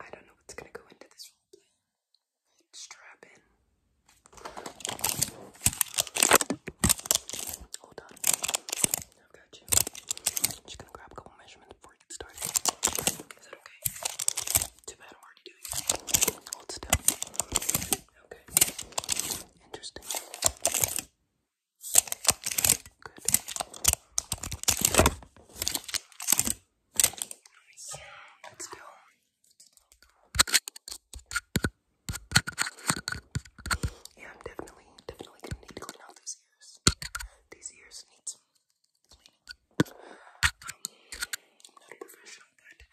I don't know what's gonna go into this roleplay. Strap in. Hold on. I've got you. just gonna grab a couple measurements before we get started. Is that okay? Too bad I'm already doing it. Hold still. Okay. Interesting. Yeah, I'm definitely, definitely gonna need to clean out these ears. These ears need some cleaning. not a professional, but I think I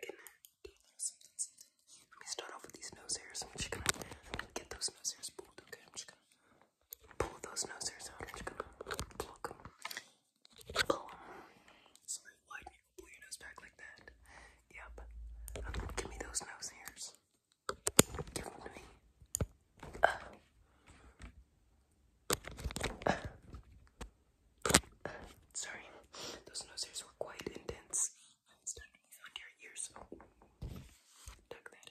can do a little something, something. Let me start off with these nose hairs. I'm just I'm gonna get those nose hairs pulled, okay? I'm just gonna pull those nose hairs out. i them. Pull them. Slightly widen pull your nose back like that. Yep. give me those nose hairs. Give them to me. Sorry, those nose hairs were quite intense. It's your ears. Tuck that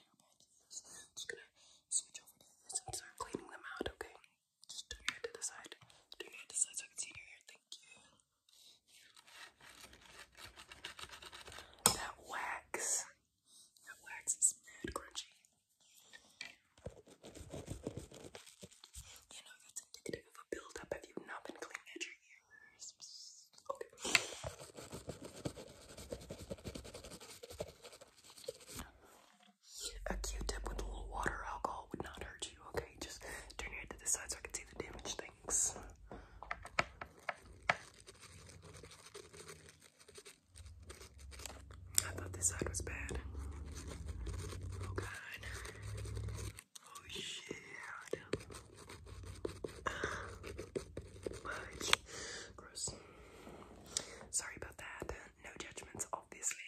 just gonna switch over to this and start cleaning them out, okay? Just turn your head to the side. Turn your head to the side so I can see your hair. Thank you. That wax. That wax is mad crunchy. You know, that's indicative of a buildup if you not been cleaning your ears. A Q-tip with a little water alcohol would not hurt you, okay? Just turn your head to this side so I can see the damage things. I thought this side was bad. Oh god. Oh shit. Sorry about that. No judgments, obviously.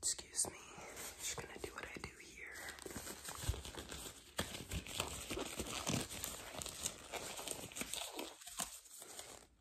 Excuse me. just gonna do what I do here.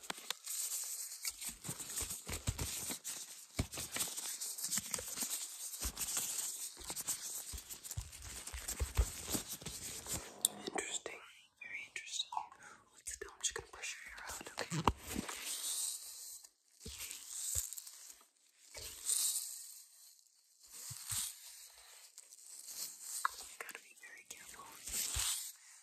Interesting, very interesting. Let's do, I'm just gonna brush your hair out, okay? You gotta be very careful.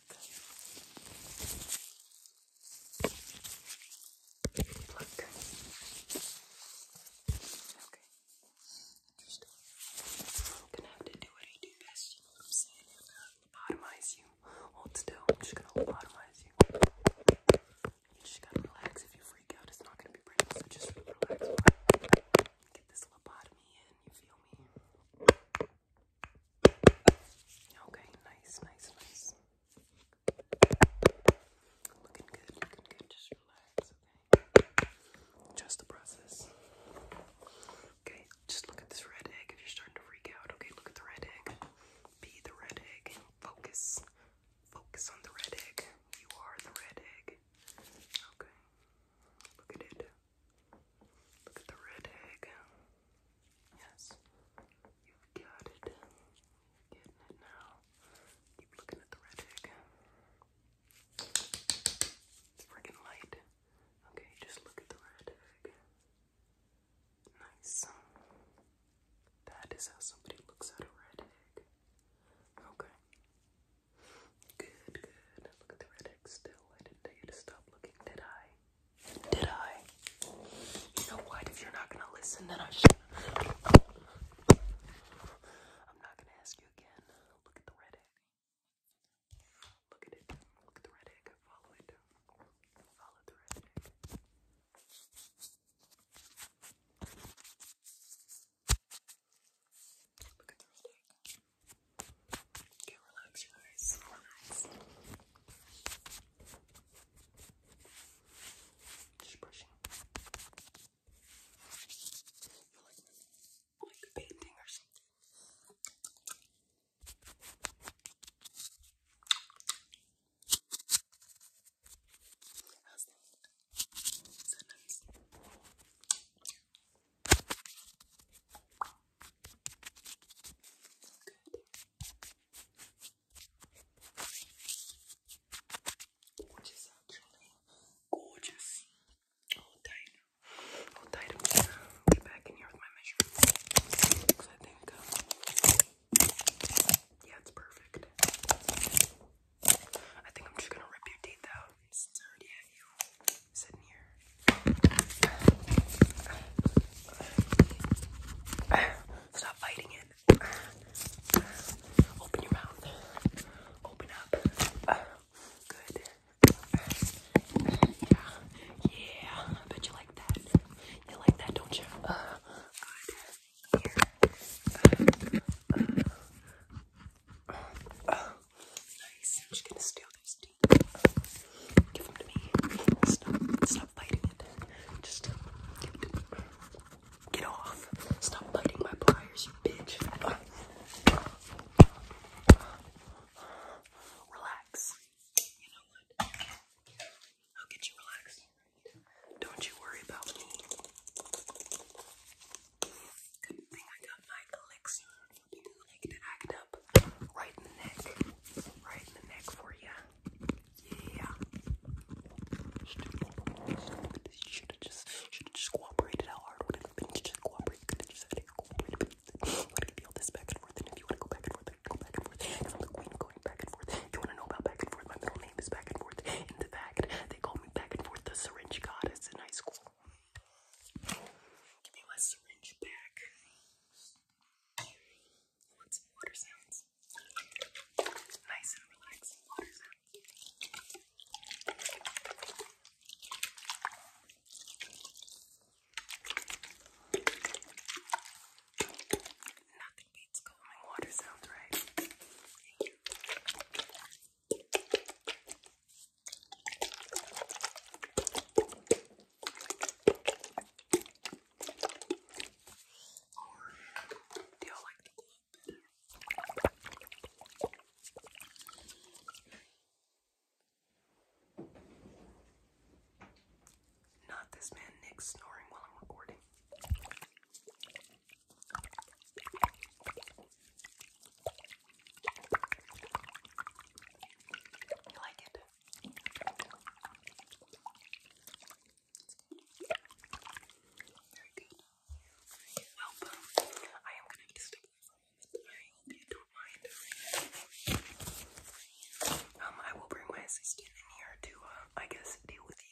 Pluck. Pluck. Okay. Interesting. I'm gonna have to do what I do best, you know what I'm saying? I'm gonna lobotomize you. Hold still, I'm just gonna lobotomize you. You just gotta relax. If you freak out, it's not gonna be pretty, so just relax. Get this lobotomy in, you feel me? Okay, nice, nice, nice. Looking good, looking good. Just relax, okay? the process. Okay, just look at this red egg if you're starting to freak out. Okay, look at the red egg. Be the red egg. Focus. Focus on the red egg. You are the red egg. Okay. Look at it. Look at the red egg. Yes, you've got it. getting it now. Keep looking at the red egg. It's freaking light. Okay, just look at the red egg. Nice. That is how somebody looks at a red egg. Okay. Good, good. Look at the red still. I didn't tell you to stop looking, did I? Did I? You know what? If you're not gonna listen, then I should. I'm not gonna ask you again. Look at the red egg. Look at it. Look at the red egg. Follow it. Follow the Look at the roller. Okay, relax, you guys. Relax. Just brushing. You're like, like a painting or something. How's that? Is that nice? good. Which gorgeous. Hold oh, tight. Hold oh, tight. I'm gonna be back in here with my measurements. So I think, um, yeah, it's perfect. I think I'm just gonna rip your teeth out. Stop biting it. Open your mouth. Open up. Good. Yeah. Yeah. I bet you like that. You like that, don't you? Here. Uh, uh, uh, Nice. I'm just gonna steal those teeth. Give them to me. Stop. Stop biting it. Just give it Get off. Stop biting my pliers, you bitch. Relax. You know what? I'll get you relaxed. Don't you worry about me. Good thing I got my elixir making it act up. Right in the neck. Right in the neck for ya. Yeah. Should have just should have just cooperated how hard would it have been just cooperate? Could just had it cooperated What if feel this back and forth? And if you want to go back and forth, I can go back and forth. I'm the queen of going back and forth. You wanna know about back and forth? My middle name is back and forth. In the fact, they call me back and forth the syringe goddess in high school. Give me my syringe back. I want some water sounds. Nice and relaxing water sounds. Nothing beats calming water sounds, right? Do y'all like the glue better? Not this man Nick snoring while I'm recording. You like it? Very good. Well, um, I am going to need to step away for a moment. don't mind. Um, I will bring my assistant in here to, uh, I guess, deal with you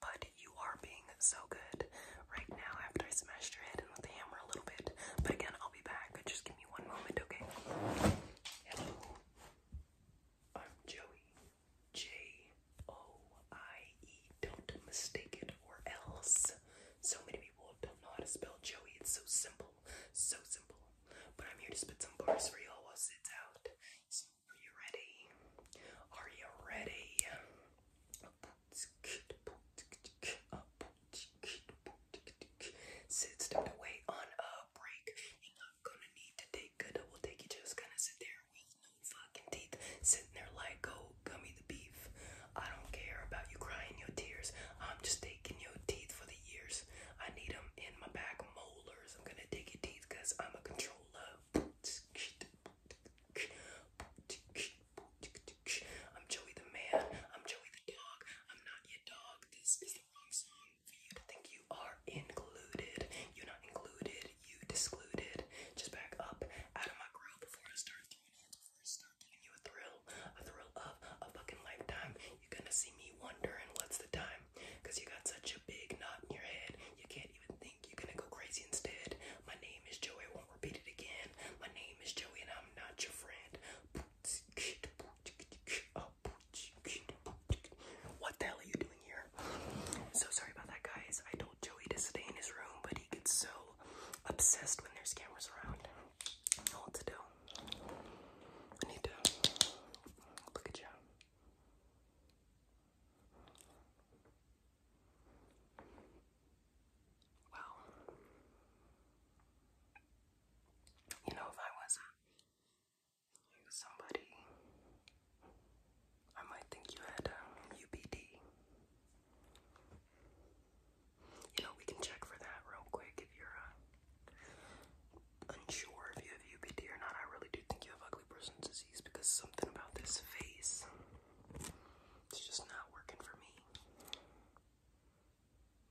but you are being so good right now after I smashed your head in with the hammer a little bit. But again, I'll be back. Just give me one moment, okay? Hello. I'm Joey. J O I E. Don't mistake it or else. So many people don't know how to spell Joey. It's so simple. So simple. But I'm here to spit some bars for y'all while it's out. So, are you ready? Are you ready? Sits them away on a break. You're not gonna need to take good. I take you just gonna sit there with no fucking teeth, sitting there like, oh, gummy the beef. I don't care about you crying your tears. I'm just taking your teeth for the years. I need them in my back molars. I'm gonna take your teeth I'm a controller. I'm Joey the man. I'm Joey the dog. I'm not your dog. This is the wrong song for you to think you are included. You're not included. You discluded. Just back up out of my grill before I start throwing Before I start giving you a thrill, a thrill of a fucking lifetime. You're gonna see me wondering what's the time, cause you got such a big knot in your head. You can't even think you're gonna go crazy instead. My name is Joey, I won't repeat it again. My name is Joey, and I'm not your friend. What the hell are you doing here? So sorry about that, guys. I told Joey to stay in his room, but he gets so obsessed when there's cameras around. what to do. I need to look at you. Well, you know, if I was a, uh, you somebody, I might think you had a um, UBD. You know, we can check for that real quick if you're uh, unsure if you have UBD or not. I really do think you have ugly person's disease because something about this face. It's just not working for me.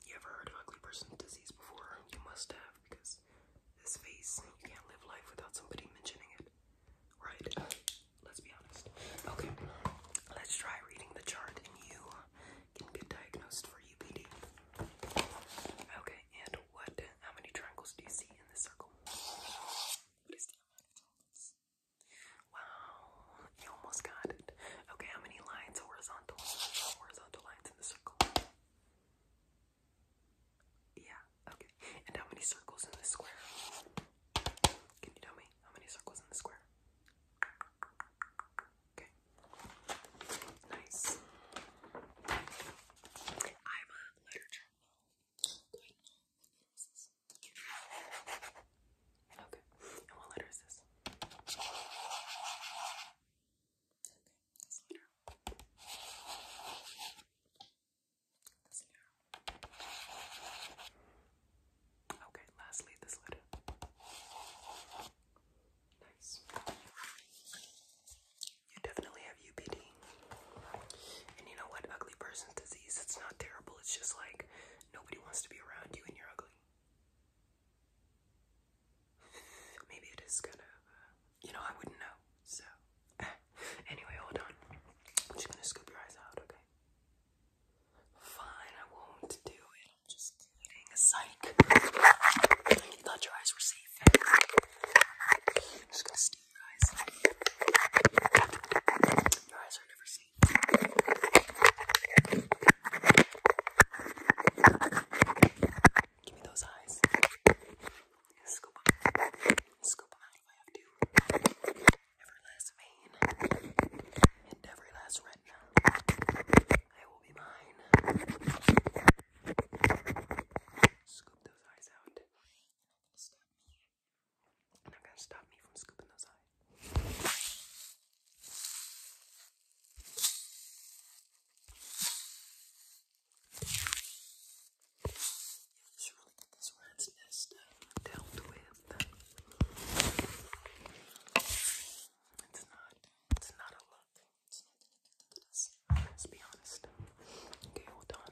You ever heard of ugly person disease before? You must have, because this face, you can't live life without somebody mentioning it. Right? Let's be honest. Okay, let's try reading the chart and you can get diagnosed for UBD. Okay, and what, how many triangles do you see in this circle? What is the amount of triangles? Wow, you almost got it. Okay, how many lines? Horizontal, horizontal lines in the circle. Yeah, okay. And how many circles in the square? Can you tell me how many circles in the square? Okay. Nice. I'm a letter journal. Okay. what letter is this? Okay, this letter. Okay, lastly, this letter. Nice. You definitely have UPD. And you know what? Ugly person's disease. It's not terrible. It's just like nobody wants to be around you and you're ugly. Maybe it is kind of, you know, I wouldn't know. So, anyway, hold on. I'm just gonna scoop your eyes out, okay? Fine, I won't do it. I'm just kidding. Psych. thought your eyes were safe. i your Give me those eyes. Scoop Scoop I have Every last vein and every last retina. They will be mine. Scoop those eyes out. Not gonna stop me from scooping those eyes. Should really get this rat's nest uh, dealt with. It's not. It's not a look. Let's be honest. Okay, hold on.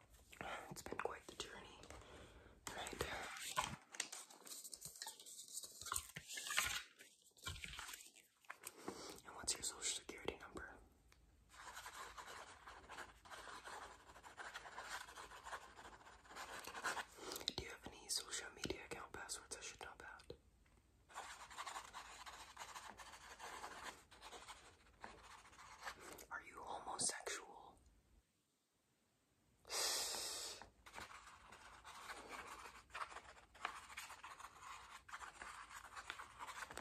It's been quite the journey, right? And what's your social security number? Do you have any social media account passwords I should know about? Are you homosexual?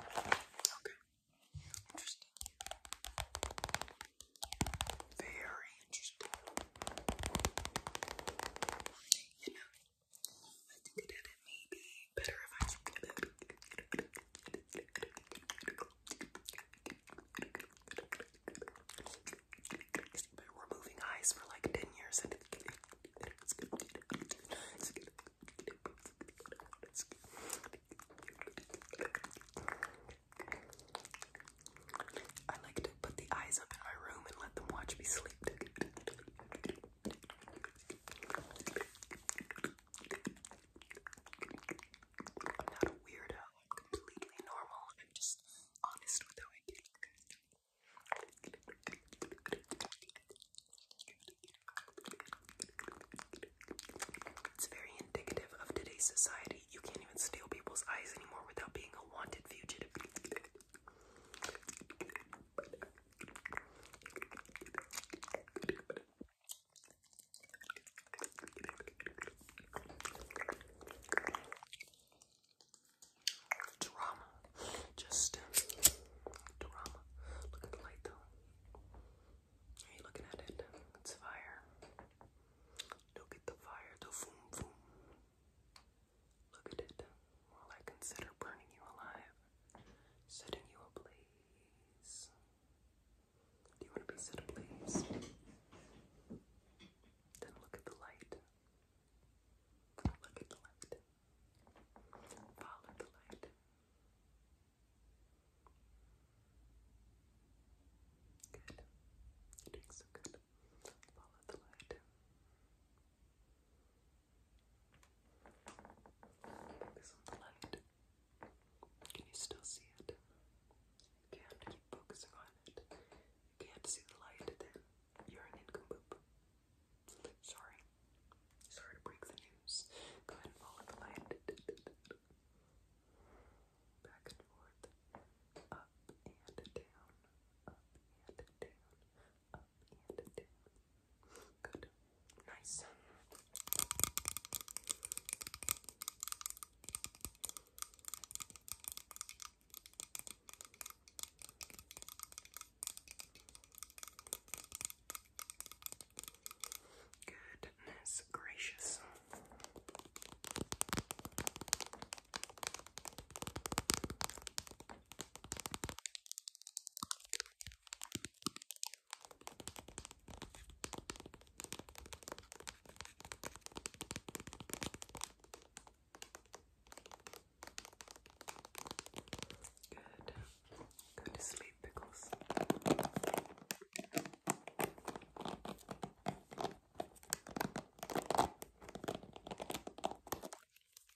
Okay. Interesting. Very interesting. You know, I think that it may be better if I we're moving eyes for like 10 years I like to put the eyes up in my room and let them watch me sleep not a weirdo. completely normal. I'm just honest with how I get. It's very indicative of today's society. You can't even steal people's eyes anymore without being a wanted fugitive. Drama. Just drama. Look at the light though. Are you looking at it? It's fire. Look at the fire, the foom foom. Look at it. While I consider burning you alive, setting you ablaze. Do you want to be set, please? Then look at the light. Look at the light. Follow the light. Good. doing so good. Follow the light. Focus on the light. Can you still see it? can't keep focusing on it. can't see the light, then you're an nincompoop. Sorry. Sorry to break the news. Go ahead follow the light. Back and forth. Up and down. Up and down. Up and down. Good. Nice. Goodness gracious. Good. Go to sleep, Pickles.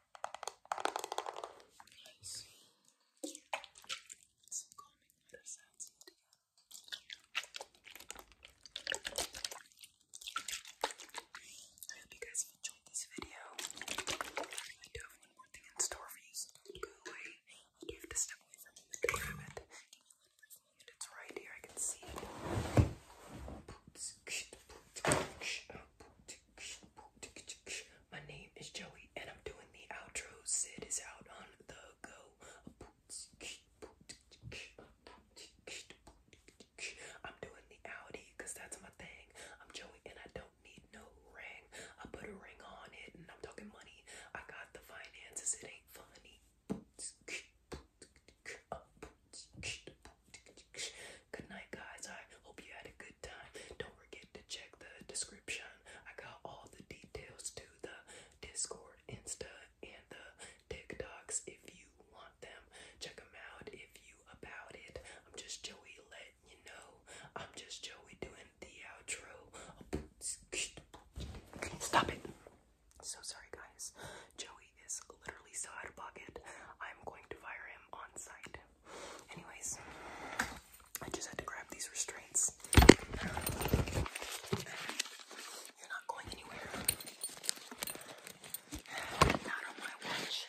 I hope you guys enjoyed this video. I do have one more thing in store for you, so have to step away from it to It's right here, I can see it. My name is Joey, and I'm doing the outro. Sid is out on the go. I'm doing the Audi that's my thing. I'm Joey, and I don't need no ring. I put a ring on it, and I'm talking money. I got the finances, it ain't funny. Good night, guys. I hope you had a good time. Don't forget to check the description. I got all the details to the Discord, Insta, and the TikToks if you want them. Check them out if you about it. I'm just Joey letting you know. I'm just Joey doing the outro. Stop it. So sorry, guys. Joey is literally so out of pocket. I'm going to fire him on site. Anyways, I just had to grab these restraints. You're not going anywhere. Not on my watch.